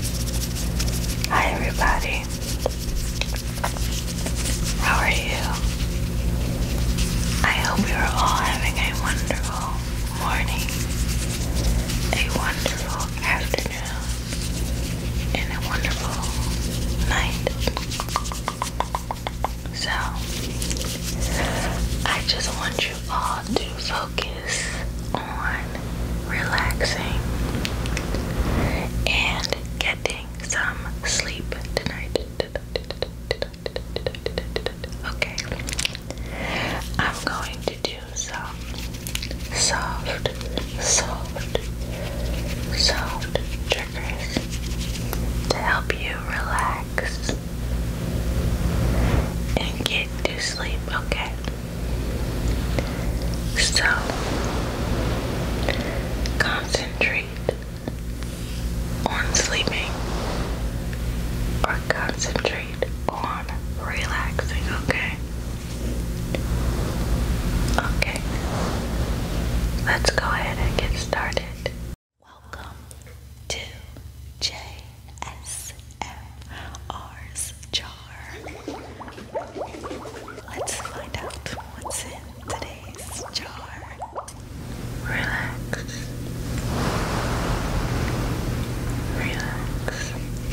Hi everybody. How are you? I hope you're all having a wonderful morning, a wonderful afternoon, and a wonderful night. So I just want you all to focus is on relaxing and getting some sleep tonight. Okay, I'm going to do some soft, soft, soft triggers to help you relax and get to sleep. Okay. So concentrate on sleeping or concentrate on relaxing, okay? Okay, let's go ahead and get started. Welcome to J ASMR's jar. Let's find out what's in today's jar. Relax. Relax. Relax. Relax.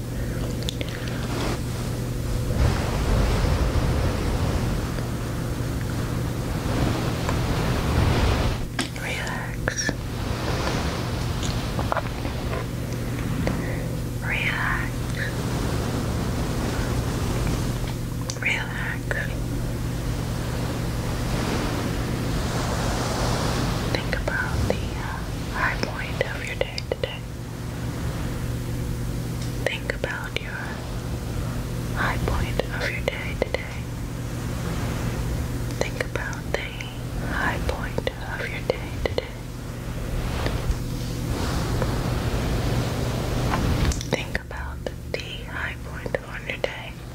Relax. Relax. Relax. Think about the uh, high point of your day. Think about your high point of your day today. Think about the high point of your day today. Think about the high point of your day today.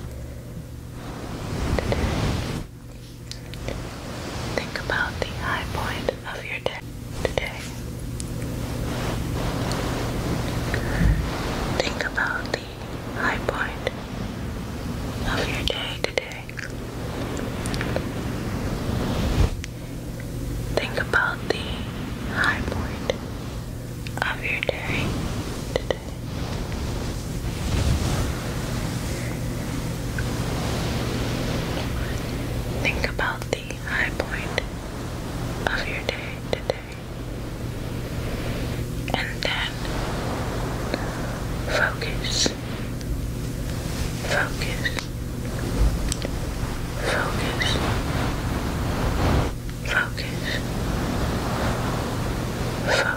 Think about the high point of your day today. Think about the high point of your day today. Think about the high point of your day today. Think about the high point of your day today and then focus, focus, focus, focus, focus.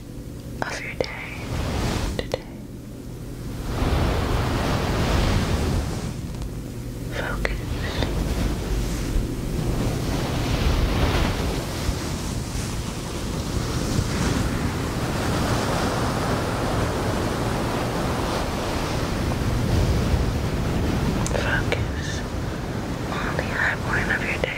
of your day today. Focus. Focus on the high point of your day.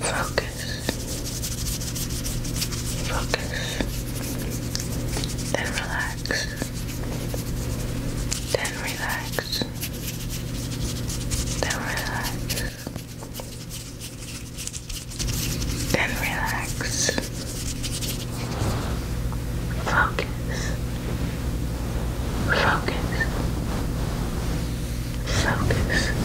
Focus. Focus. Then relax. Then relax. Then relax. Then relax. Focus. Focus. Focus.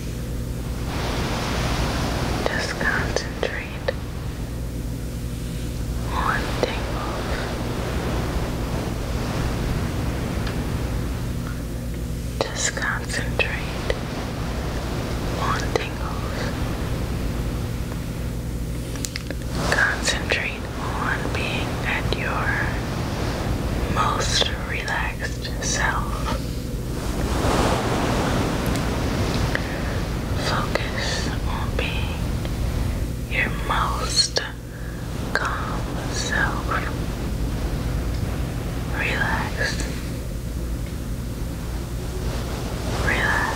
Just concentrate on tingles. Just concentrate on tingles. Concentrate on being at your most relaxed self. Focus on being your most calm self. Relax. Relax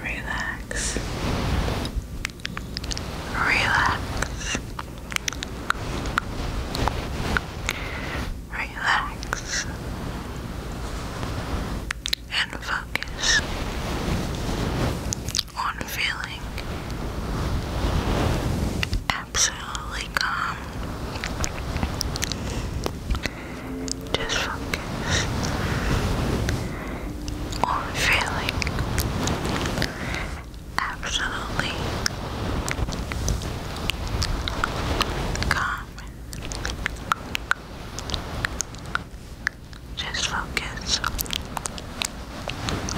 Relax. Relax. Relax. And focus on feeling absolutely calm just focus on feeling absolutely calm. Just focus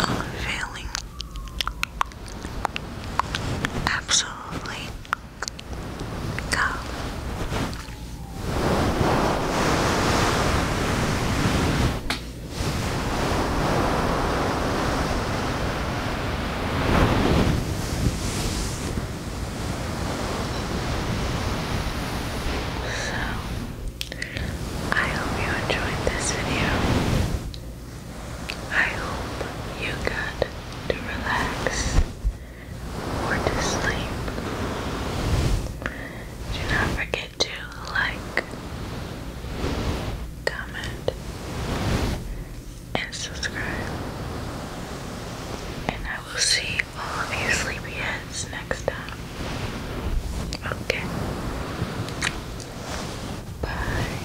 on feeling absolutely go. So, I hope you enjoyed this video. I hope you got to relax or to sleep. Do not forget to like, comment, and subscribe. And I will see all of you sleepyheads next time. Okay. Bye.